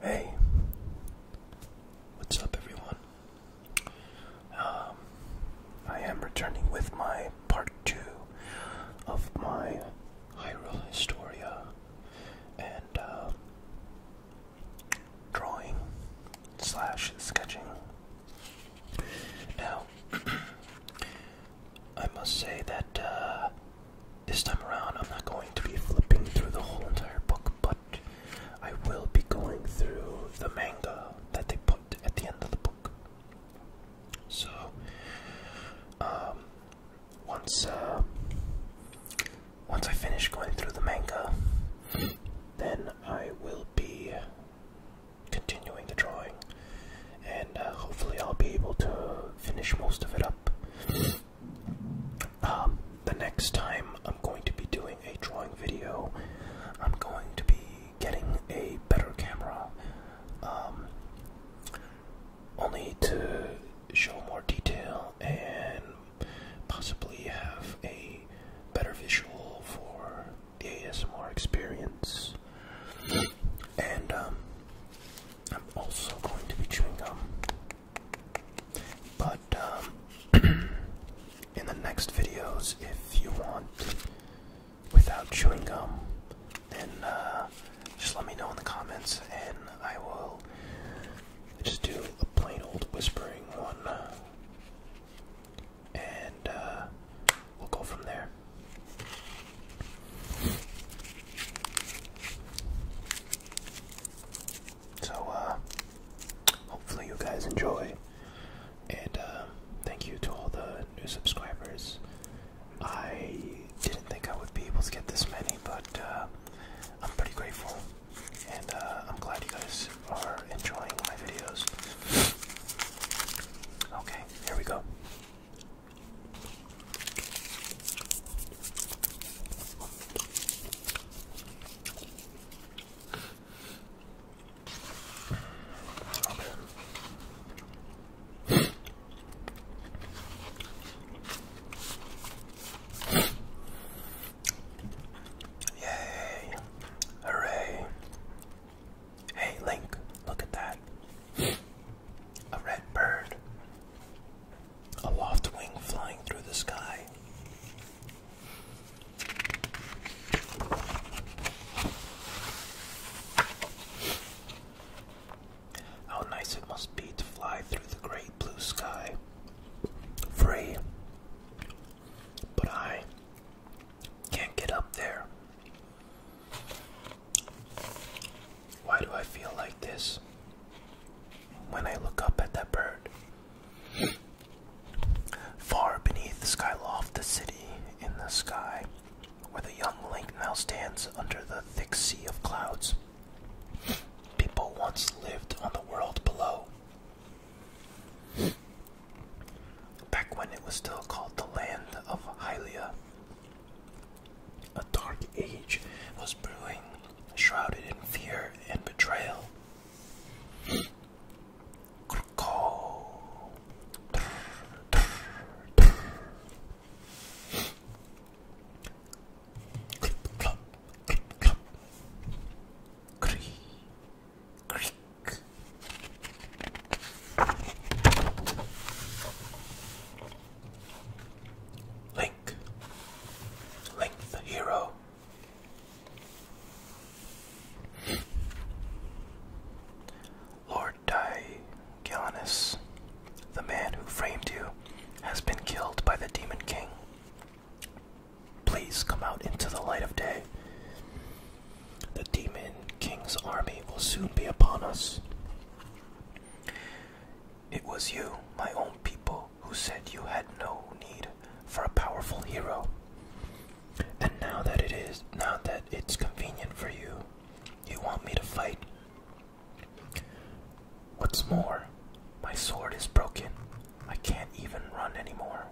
Hey, what's up, everyone? Um, I am returning with my part two of my Hyrule Historia and uh, drawing slash sketching. Now, I must say that uh, this time around, I'm not going to be flipping through the whole entire book, but I will be going through the manga that they put at the end of the book. So, um, once uh, once I finish going through the manga, then I will be continuing the drawing, and uh, hopefully I'll be able to finish most of it up. Um, the next time I'm going to be doing a drawing video, I'm going to be getting a better camera, um, only to show more detail and possibly have a better visual for the ASMR experience. And um, I'm also going to be chewing gum. But um, in the next videos, if you want, without chewing gum, and uh, just let me know in the comments, and I will just do a plain old whispering one, and uh, we'll go from there. So, uh, hopefully, you guys enjoy. And uh, thank you to all the new subscribers. I didn't think I would be able to get this many, but uh, I'm pretty grateful. And I'm glad you guys are enjoying my videos. Okay, here we go. Yay! Hooray! Hey, Link, look at that a red bird, a loft wing flying through the sky. How nice it must be to fly through the great blue sky, free. But I can't get up there. Why do I feel like this when I look up at that bird? Far beneath the sky, loft the city in the sky, where the young link now stands under the thick sea of clouds. People once lived on the world below. Back when it was still called the land of Hylia, a dark age was brewing, shrouded in fear and betrayal. Clip clop, clip clop, cree, creak. Link, Link hero. Lord Tigellinus, the man who framed you, has been killed by the Demon King. Please come out into the light of day. The Demon King's army will soon be upon us. It was you, my own people, who said you had no need for a powerful hero. And now that it is, now that it's convenient for you, you want me to fight. What's more, my sword is broken. I can't even run anymore.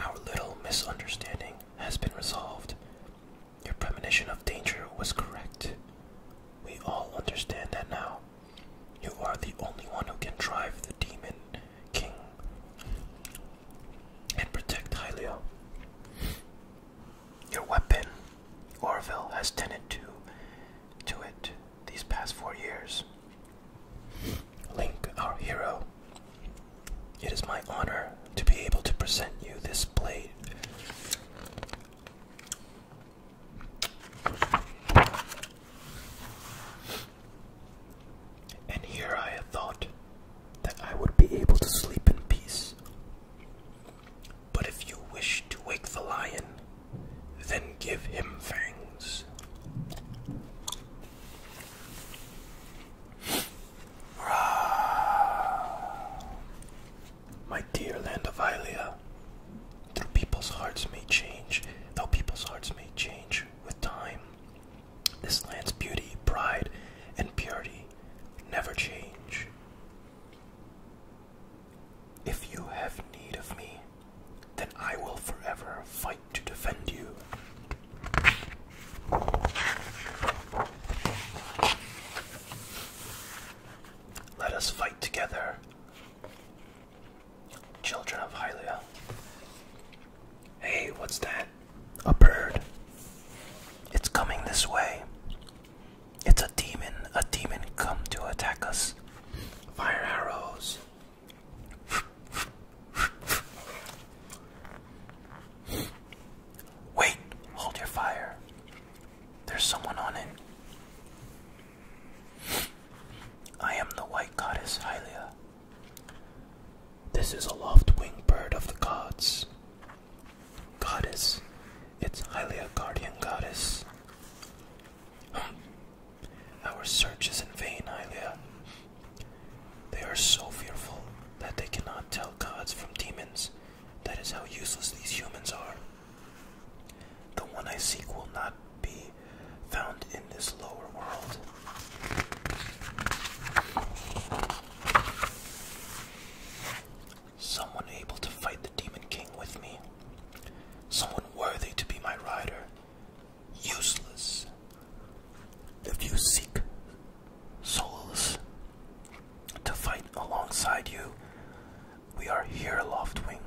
Our little misunderstanding has been resolved, your premonition of danger was correct. We all understand that now. You are the only one who can drive the demon king and protect Hylia. Your weapon, Orville, has tended to to it these past four years. Link, our hero. It is my honor to be able to present you this blade and here I thought that I would be able to sleep in peace. But if you wish to wake the lion, then give him fangs. My dear land of Ilia, though people's hearts may change, though people's hearts may change with time, this land's beauty, pride, and purity never change. If you have need of me, then I will forever fight to defend you. Let us fight together, children of Hylia. Hey, what's that? A bird. It's coming this way. It's a demon. A demon come to attack us. Fire arrows. Wait, hold your fire. There's someone on it. I am the white goddess Hylia. This is a loft winged bird of the gods. Goddess, it's Hylia, guardian goddess. Hmm. Our search is in vain, Hylia. They are so fearful that they cannot tell gods from demons that is how useless these humans are. The one I seek will not be found in this lower world. Someone able to fight the Demon King with me. Someone worthy to be my rider. Useless. If you seek souls to fight alongside you. We are here, Loftwing.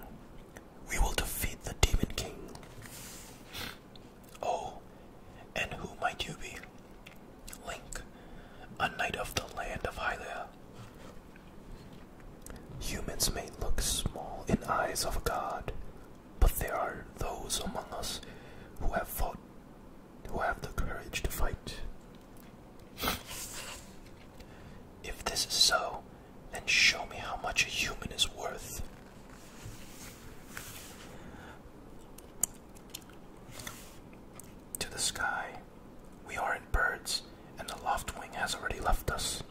We will defeat the Demon King. Oh, and who might you be? Link, a knight of the land of Hylia. Humans may look small in eyes of god, but there are those among us who have fought who have the courage to fight. If this is so, then show me how much a human is worth. To the sky, we aren't birds, and the loft wing has already left us.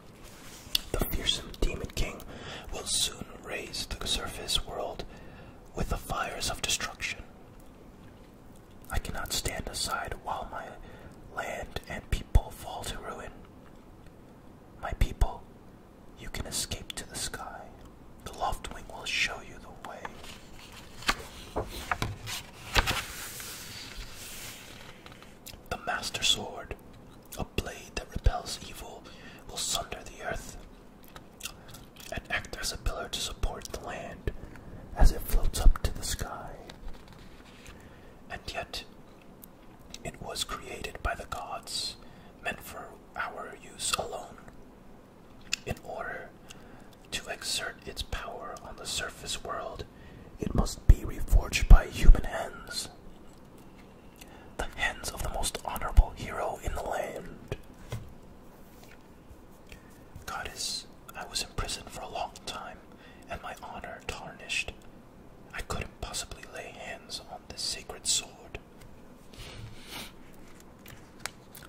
The fearsome demon king will soon raise the surface world with the fires of destruction. I cannot stand aside while my land and people fall to ruin. My people, you can escape to the sky. The Loftwing will show you the way. The Master Sword, a blade that repels evil, will sunder the earth and act as a pillar to support the land as it floats up to the sky. And yet, it was created by the gods, meant for our use alone, in order to exert its power on the surface world. It must be reforged by human hands, the hands of the most honorable hero in the land. Goddess, I was imprisoned for a long time, and my honor tarnished. I couldn't possibly lay hands on this sacred sword.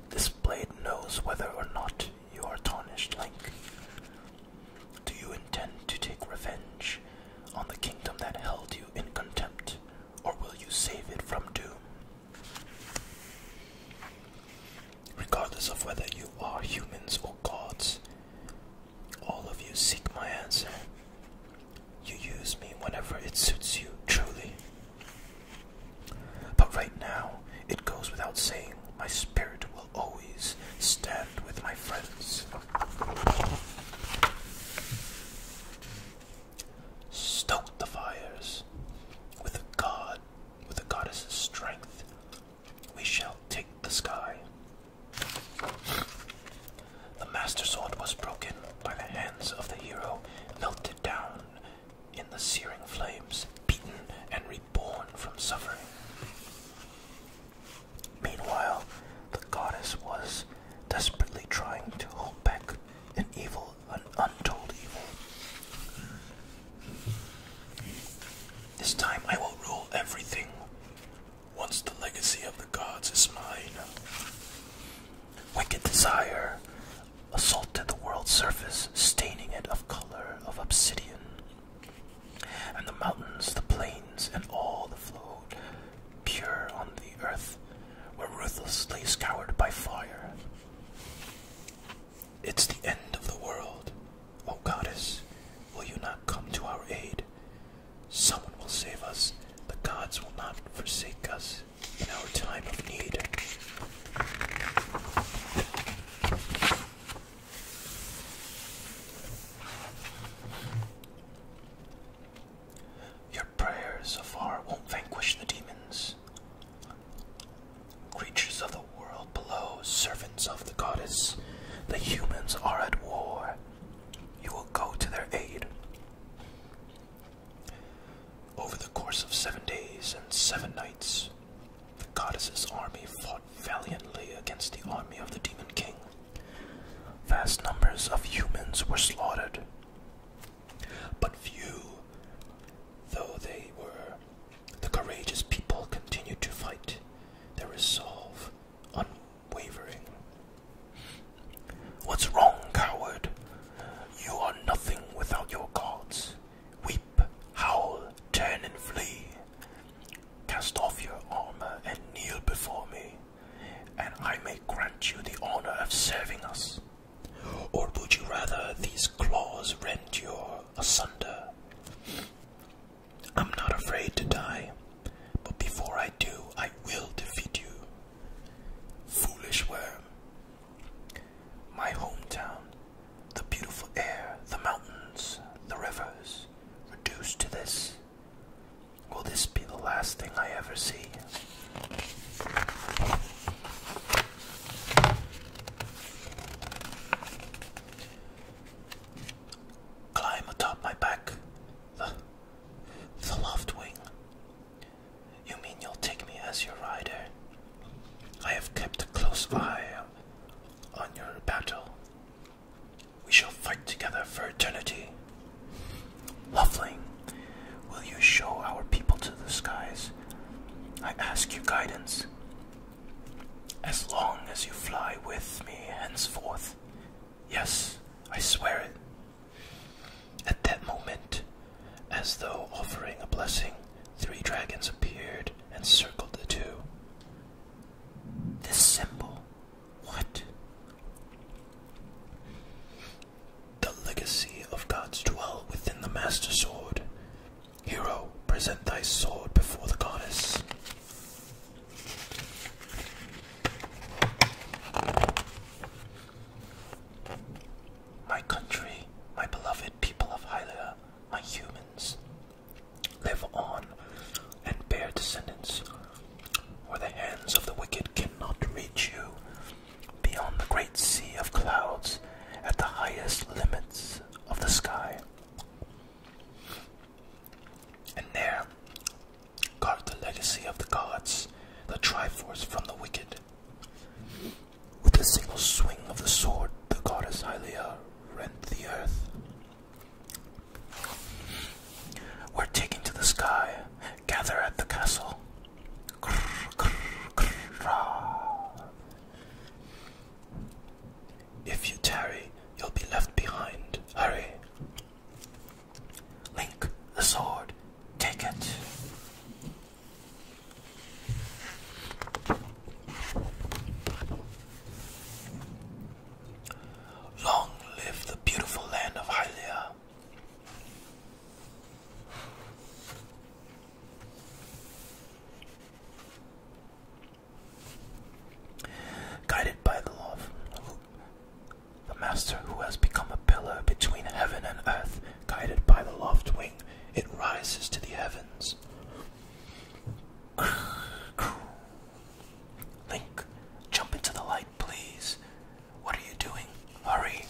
This blade knows whether or not you are tarnished, Link. Do you intend to take revenge on the kingdom that held you in contempt, or will you save it from doom? Regardless of whether you are humans or gods, all of you seek my answer. You use me whenever it suits you, truly. But right now, it goes without saying, my spirit will always stand with my friends. Stoke the fires with a god with the goddess's strength, we shall take the sky. The master sword was broken by the hands of the hero, melted down in the searing flames, beaten and reborn from suffering. Meanwhile, the goddess was desperately trying to hold back an evil an untold evil. This time I will rule everything once the legacy of the gods is mine. Wicked desire assaulted the world's surface, staining it of color of obsidian. And the mountains, the plains, and all the flowed pure on the earth were ruthlessly scoured by fire. It's the end of the world. O oh, goddess, will you not come to our aid? Someone will save us. The gods will not forsake us in our time of need. Your prayers afar won't vanquish the demons. Creatures of the world below, servants of the goddess, the humans are at war. You will go to their aid. Over the course of seven days and seven nights, the goddess's army fought valiantly against the army of the demon king. Vast numbers of humans were slaughtered, but few, though they were, the courageous people continue to fight, their resolve unwavering. What's wrong, coward? You are nothing without your gods. Weep, howl, turn and flee. Cast off your armor and kneel before me, and I may grant you the honor of serving us. Or would you rather these claws rend you asunder? I'm not afraid to die, but before I do, I will defeat you. Foolish worm. My hometown, the beautiful air, the mountains, the rivers, reduced to this. Will this be the last thing I ever see? Climb atop my back, the, the loft wing. You mean you'll take me as your rider? I have kept a close eye on your battle. We shall fight together for eternity. Loveling, will you show our people to the skies? I ask you guidance. As long as you fly with me henceforth. Yes, I swear it. At that moment, as though offering a blessing, three dragons appeared and circled the two. This symbol, what? The legacy of gods dwell within the Master Sword. Hero, present thy sword before the goddess. My country, my beloved people of Hylia, my humans, live on and bear descendants, where the hands of the wicked cannot reach you, beyond the great sea of clouds, at the highest limits of the sky. And there guard the legacy of the gods, the Triforce from the wicked. With a single swing of the sword, the goddess Hylia rent the earth. We're taken to the sky, gather at the castle. If you tarry, you'll be left behind. Hurry. Link, the sword. Take it. Long live the beautiful land of Hylia. Guided by the law the Master who has become a pillar between heaven and earth, guided by the loft wing, it rises to the heavens. Link, jump into the light, please. What are you doing? Hurry.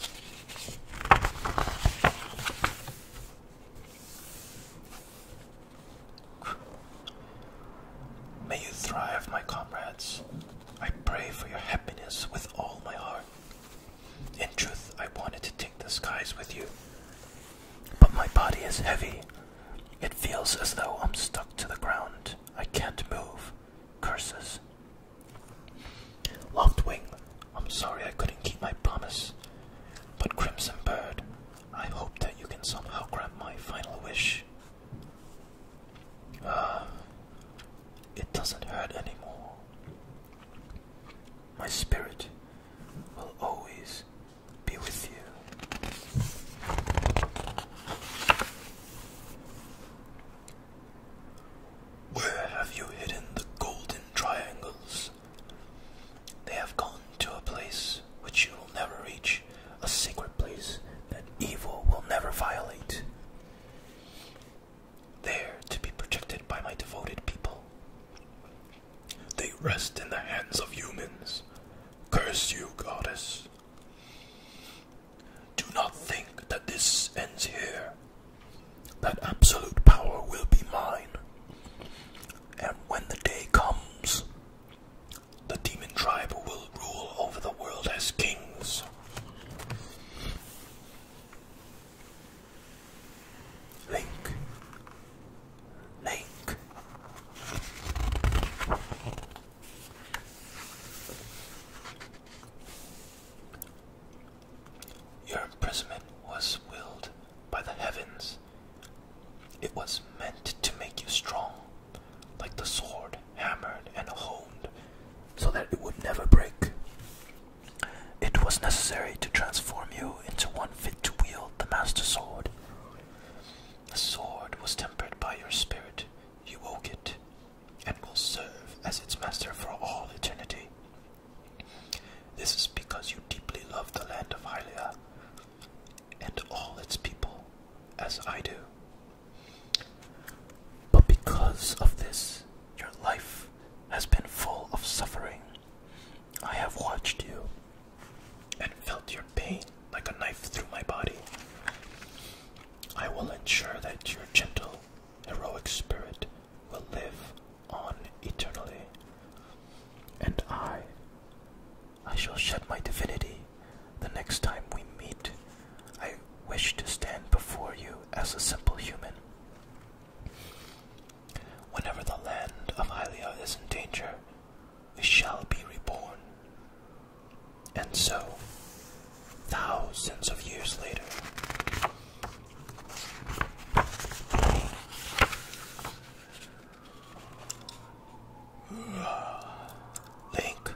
May you thrive, my comrades. I pray for your happiness with all my heart. In truth, I wanted to take the skies with you, but my body is heavy. It feels as though I'm stuck to the ground. I can't move. Curses. wing. I'm sorry I couldn't keep my promise. But, Crimson Bird, I hope that you can somehow grant my final wish. Ah, it doesn't hurt anymore. My spirit will always be with you. Where have you hidden the golden triangles? They have gone to a place which you will never reach, a sacred place that evil will never violate. There to be protected by my devoted people. They rest in the hands of humans. Curse you, goddess. Do not think that this ends here that absolute power will be mine. And when the day comes, the demon tribe will rule over the world as kings. Link. Link. Your imprisonment was willed by the heavens. It was meant to make you strong, like the sword hammered and honed, so that it would never break. It was necessary to transform you into one fit to wield the Master Sword. The sword was tempered by your spirit. You woke it, and will serve as its master for all eternity. This is because you deeply love the land of Hylia and all its people, as I do. But because of this, your life has been full of suffering. I have watched you and felt your pain like a knife through my body. I will ensure that your gentle, heroic spirit will live on eternally, and I, I shall shed my divinity the next time we meet. I wish to stand before you as a simple human. Whenever the land of Hylia is in danger, we shall be reborn. And so, thousands of years later, Link.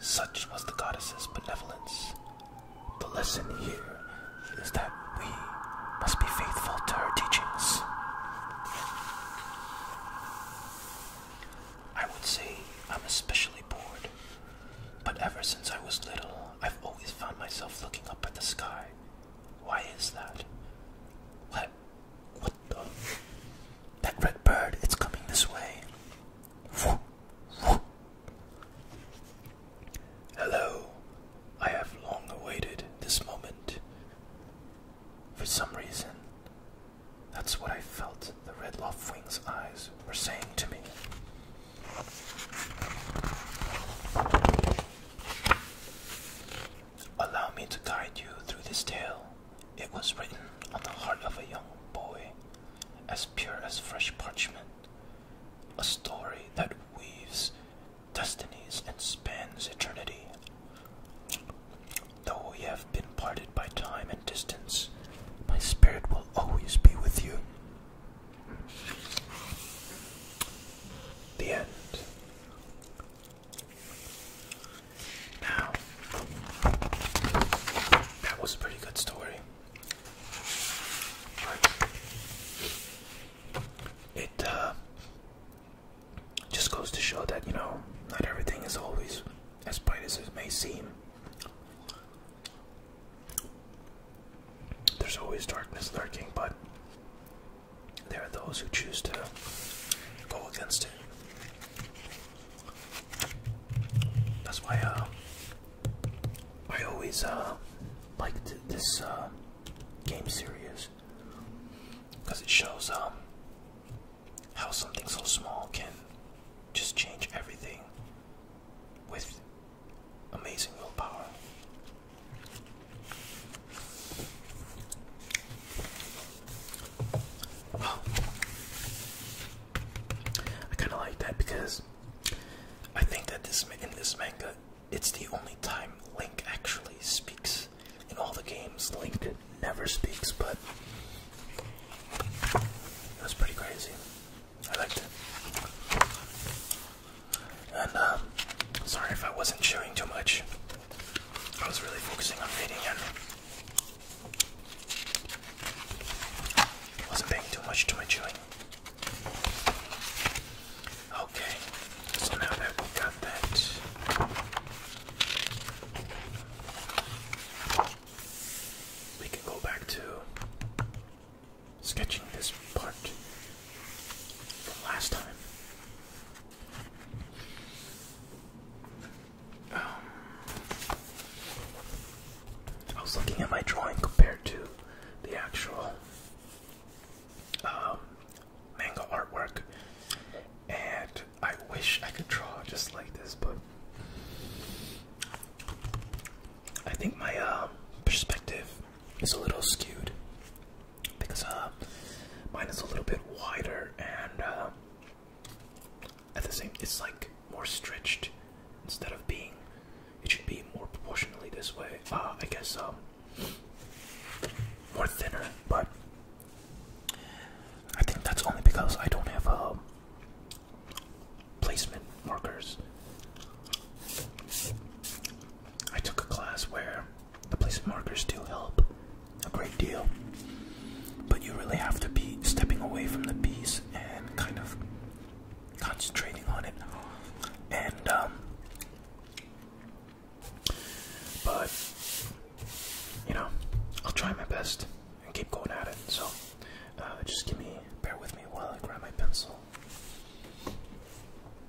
Such was the goddess's benevolence. The lesson here is that we must be faithful to her teachings. I would say I'm especially bored, but ever since I was little, I've always found myself looking up at the sky why is that? What? What the? That red bird, it's coming this way. Hello. I have long awaited this moment. For some reason, that's what I felt the red Loftwing's eyes were saying to me. Allow me to guide you through this tale. It was written on the heart of a young boy, as pure as fresh parchment. A story that weaves destinies and spans eternity. Though we have been parted by time and distance, my spirit will always be with you. The end. Now, that was a pretty good story. it uh, just goes to show that, you know, not everything is always as bright as it may seem. There's always darkness lurking, but there are those who choose to go against it. That's why uh, I always uh, liked this uh, game series because it shows um, how something so small can just change everything with amazing willpower. I kind of like that because I think that this in this manga, it's the only time Link actually speaks. In all the games, Link never speaks, but it was pretty crazy. I liked it. And um, sorry if I wasn't chewing too much. I was really focusing on reading and wasn't paying too much to my chewing. Okay, got that. We can go back to sketching this part from last time. Um, I was looking at my drawing compared to the actual um, manga artwork, and I wish I could draw just like this, but I think my uh, perspective it's a little skewed because uh, mine is a little bit wider and uh, at the same, it's like more stretched instead of being. It should be more proportionally this way. Uh, I guess um, more thinner, but I think that's only because I don't have um, placement markers. I took a class where the placement markers do help a great deal, but you really have to be stepping away from the piece and kind of concentrating on it. And, um, but, you know, I'll try my best and keep going at it. So, uh, just give me, bear with me while I grab my pencil.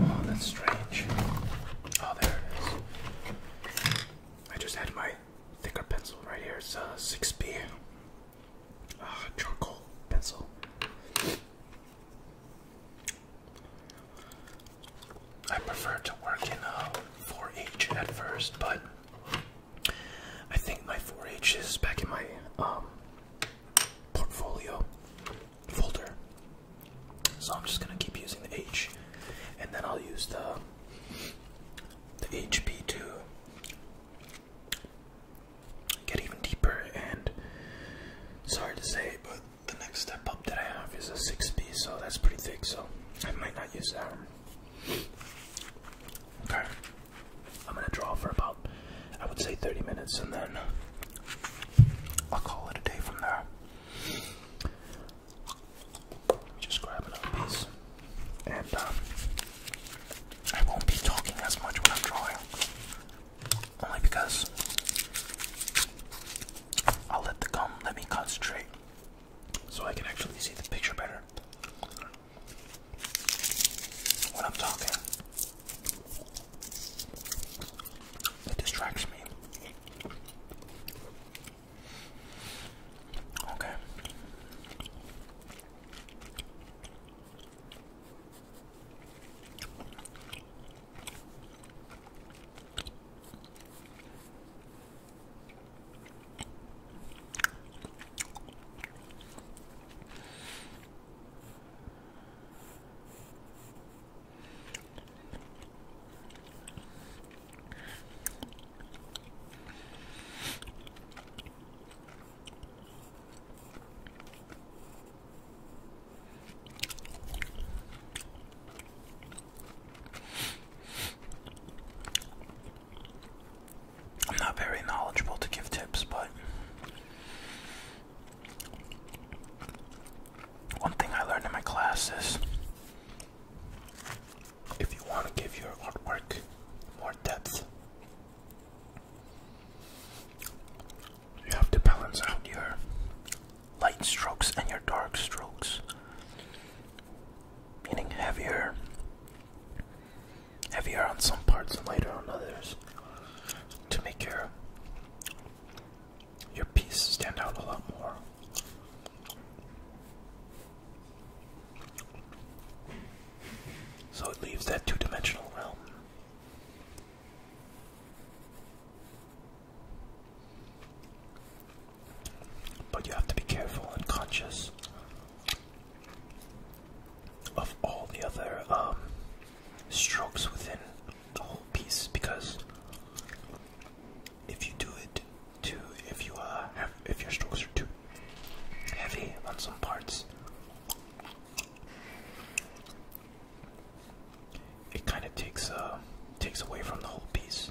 Oh, that's strange. Oh, there it is. I just had my thicker pencil right here. It's a 6B uh, ah, charcoal pencil. I prefer to work in a 4H uh, at first, but I think my 4H is back in my um, portfolio folder. So I'm just gonna keep using the H, and then I'll use the the HP 2 get even deeper. And sorry to say, but the next step up that I have is a 6B, so that's pretty thick. So I might not use that. Okay, I'm gonna draw for about I would say 30 minutes, and then I'll call it a day from there. Just grab another piece, and um, I won't be talking as much when I'm drawing, only because I'll let the gum let me concentrate, so I can actually see the picture better when I'm talking. It distracts me. Okay. I'm not very knowledgeable to give tips, but one thing I learned in my class is if you want to give your artwork more depth, you have to balance out your light strokes and your dark strokes, meaning heavier, heavier on some parts and lighter on others, to make your your piece stand out a lot more. So it leaves that two dimensional realm. But you have to be careful and conscious of all the other um, strokes within the whole piece because if you do it too, if you uh, if your strokes are too heavy on some parts, it kind of takes uh, takes away from the whole piece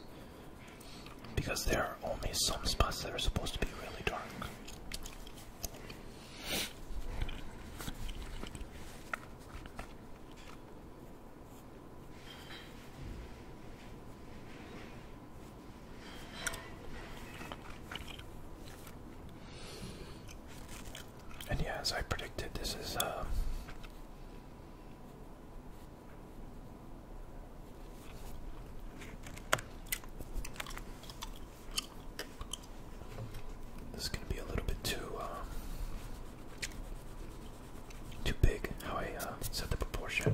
because there are only some spots that are supposed to be really dark. And yeah, as I predicted, this is uh, this is going to be a little bit too um, too big how I uh, set the proportion.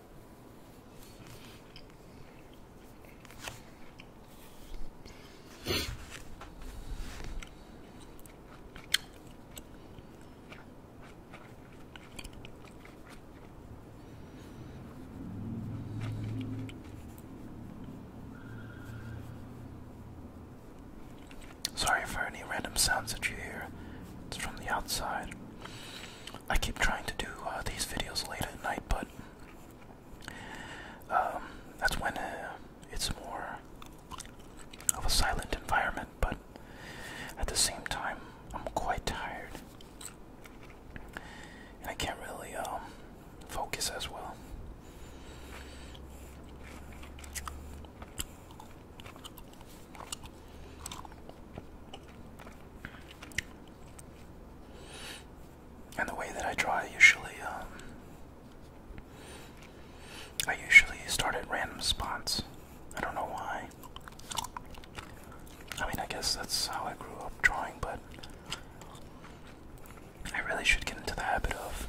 Sorry for any random sounds that you hear. It's from the outside. I keep trying to do uh, these videos late at night, but um, that's when uh, it's more of a silent environment. But at the same time, I'm quite tired, and I can't really um, focus as well. And the way that I draw, usually, um, I usually start at random spots. I don't know why. I mean, I guess that's how I grew up drawing, but I really should get into the habit of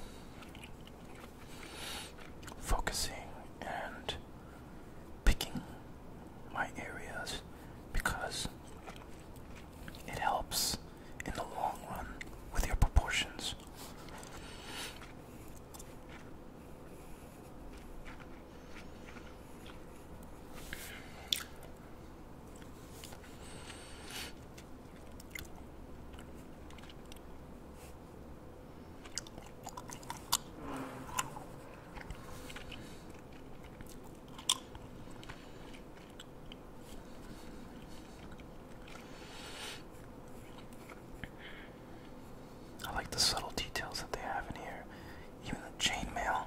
focusing and picking my areas because it helps in the long run with your proportions. I like the subtle details that they have in here, even the chainmail.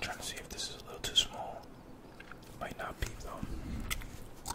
I'm trying to see if this is a little too small. Might not be though.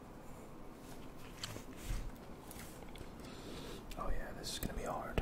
Oh, yeah, this is gonna be hard.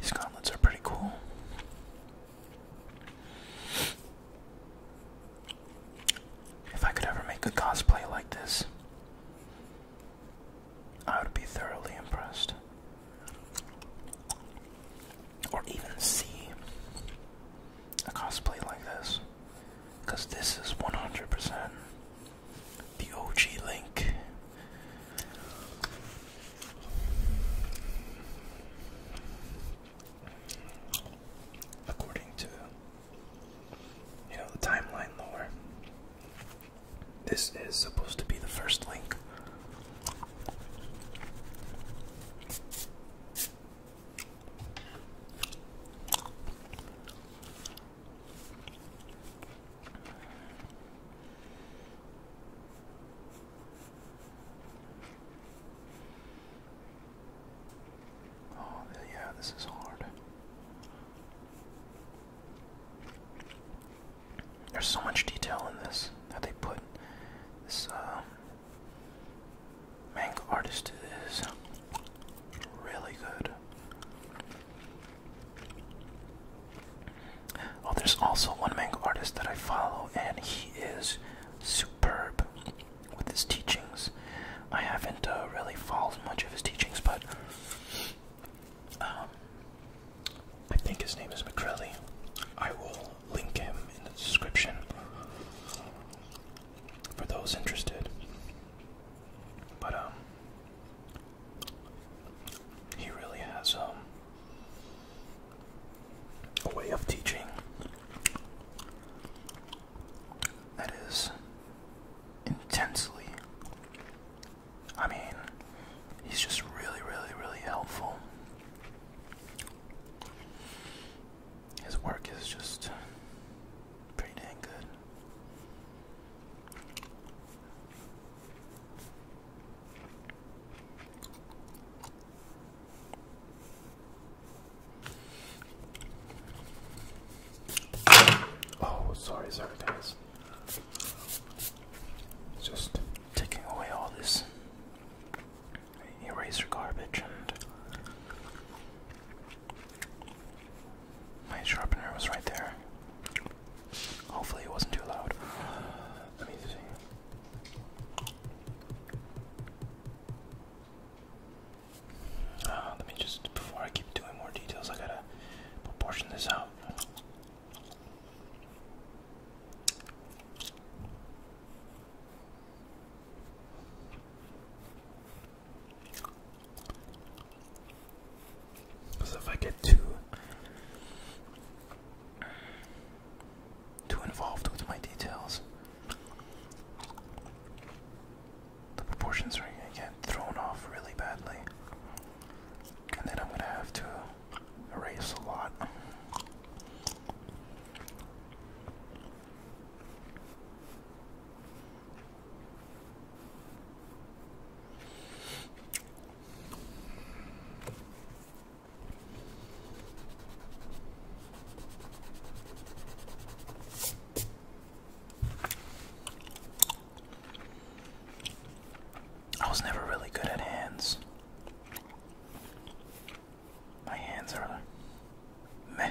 These gauntlets are pretty cool. If I could ever make a cosplay like this, I would be thoroughly impressed or even see a cosplay like this because this is 100% the OG Link. According to you know the timeline lore, this is supposed to be the first Link Oh, yeah, this is hard. There's so much detail in this that they put. This uh, manga artist is really good. Oh, there's also one manga artist that I follow, and he is superb with his teachings. I haven't uh, really followed much of his teachings, but um, I think his name is McCrelly. I will link him in the description for those interested. But um he really has um a way of teaching that is intensely I mean He's just really, really, really helpful. His work is just pretty dang good. Oh, sorry, sorry, guys. just taking away all this eraser garbage and my sharpener was right there. Hopefully it wasn't too loud. Let me see. Ah, let me just before I keep doing more details I gotta portion this out. So if I get too too involved with my details, the proportions are gonna get thrown off really badly. And then I'm gonna have to race a lot. I was never really good at hands. My hands are meh.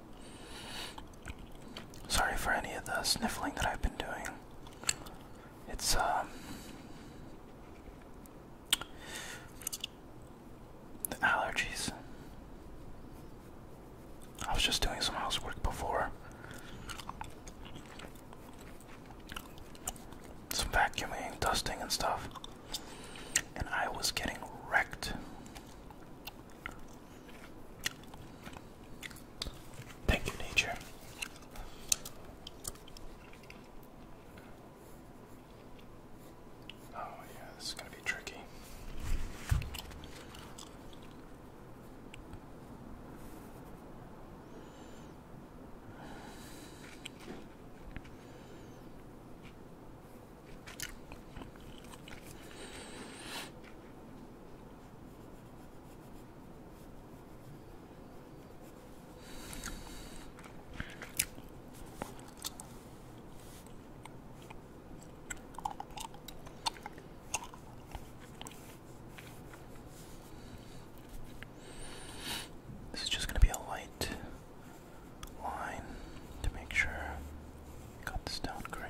Sorry for any of the sniffling that I've been doing. It's, um. The allergies. I was just doing some housework before. Some vacuuming, dusting, and stuff. And I was getting wrecked. Thank you, nature. Oh, yeah, this is going to be tricky. This is just going to be a light line to make sure cut this down correctly.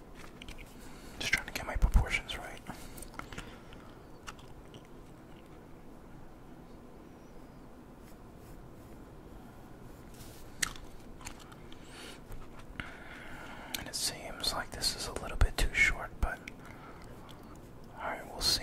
Just trying to get my proportions right. And it seems like this is a little bit too short, but alright, we'll see.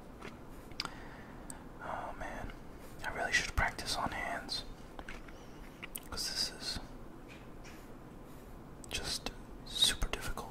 Oh man, I really should practice on hands. Because this is just super difficult.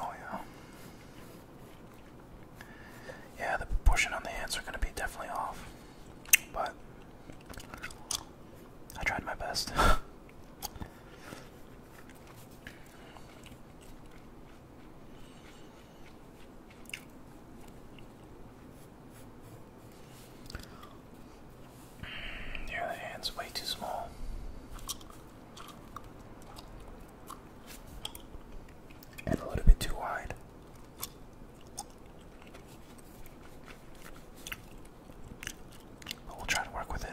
Oh yeah. Yeah, the proportion on the hands are gonna be definitely off. But I tried my best. Yeah, the hand's way too small. And a little bit too wide. But we'll try to work with it.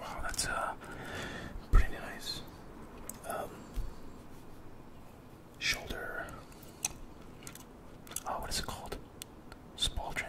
Wow, that's uh, pretty nice. Um, shoulder. Oh, what is it called? Spaldron.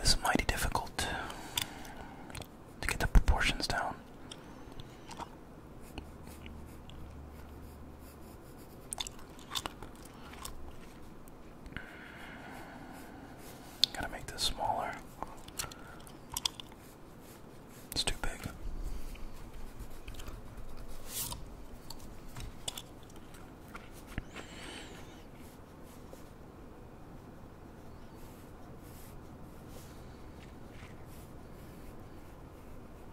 This is mighty difficult to get the proportions down. Gotta make this smaller. It's too big.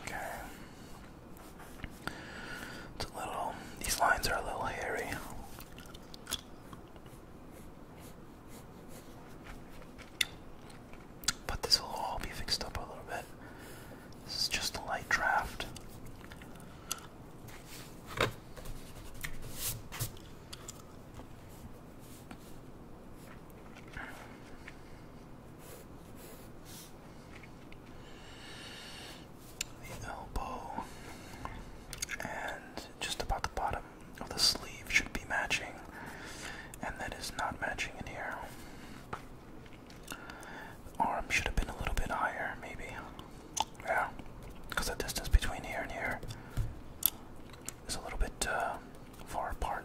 Okay. It's a little, these lines are a little hairy. But this will all be fixed up a little bit. This is just a light draft. The elbow and just about the bottom of the sleeve should be matching, and that is not matching in here. Arm should have been a little bit higher, maybe. Yeah, because the distance between here and here is a little bit uh, far apart.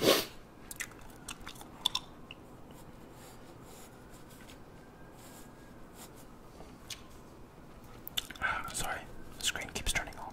Sorry, the screen keeps turning on.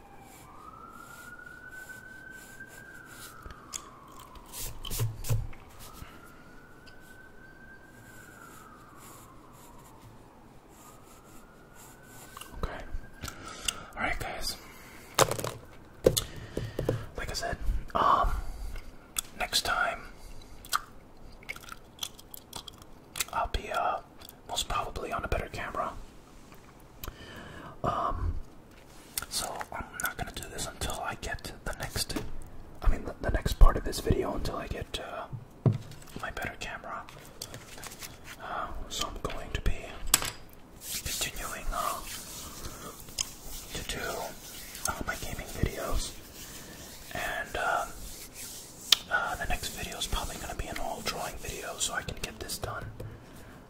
Okay. Alright guys. Like I said, um next time I'll be uh most probably on a better camera. Um, so I'm not gonna do this until I get the next, I mean the, next part of this video until I get uh, my better camera. Uh, so I'm going to be continuing uh, to do my gaming videos, and uh, the next video is probably going to be an all drawing video, so I can get this done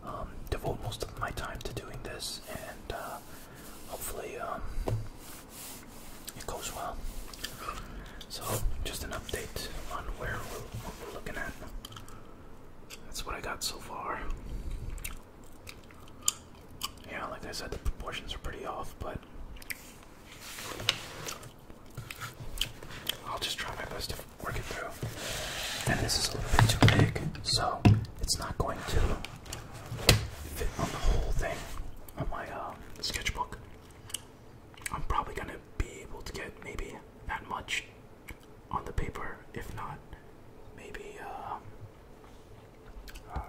um, devote most of my time to doing this, and uh, hopefully um, it goes well. So, just an update on where we're looking at. That's what I got so far. Yeah, like I said, the proportions are pretty off, but I'll just try my best to work it through. And this is a little bit too big, so it's not going to fit on the whole thing on my uh, sketchbook. I'm probably going to be able to get maybe that much on the paper, if not, maybe, uh, uh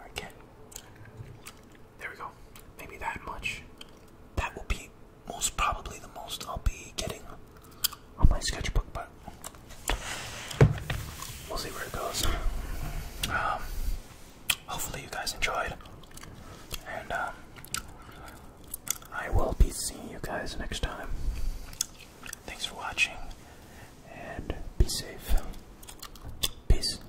There we go. Maybe that much. That will be most probably the most I'll be getting on my sketchbook, but we'll see where it goes. Um, hopefully, you guys enjoyed, and um, I will be seeing you guys next time. Thanks for watching, and be safe. Peace.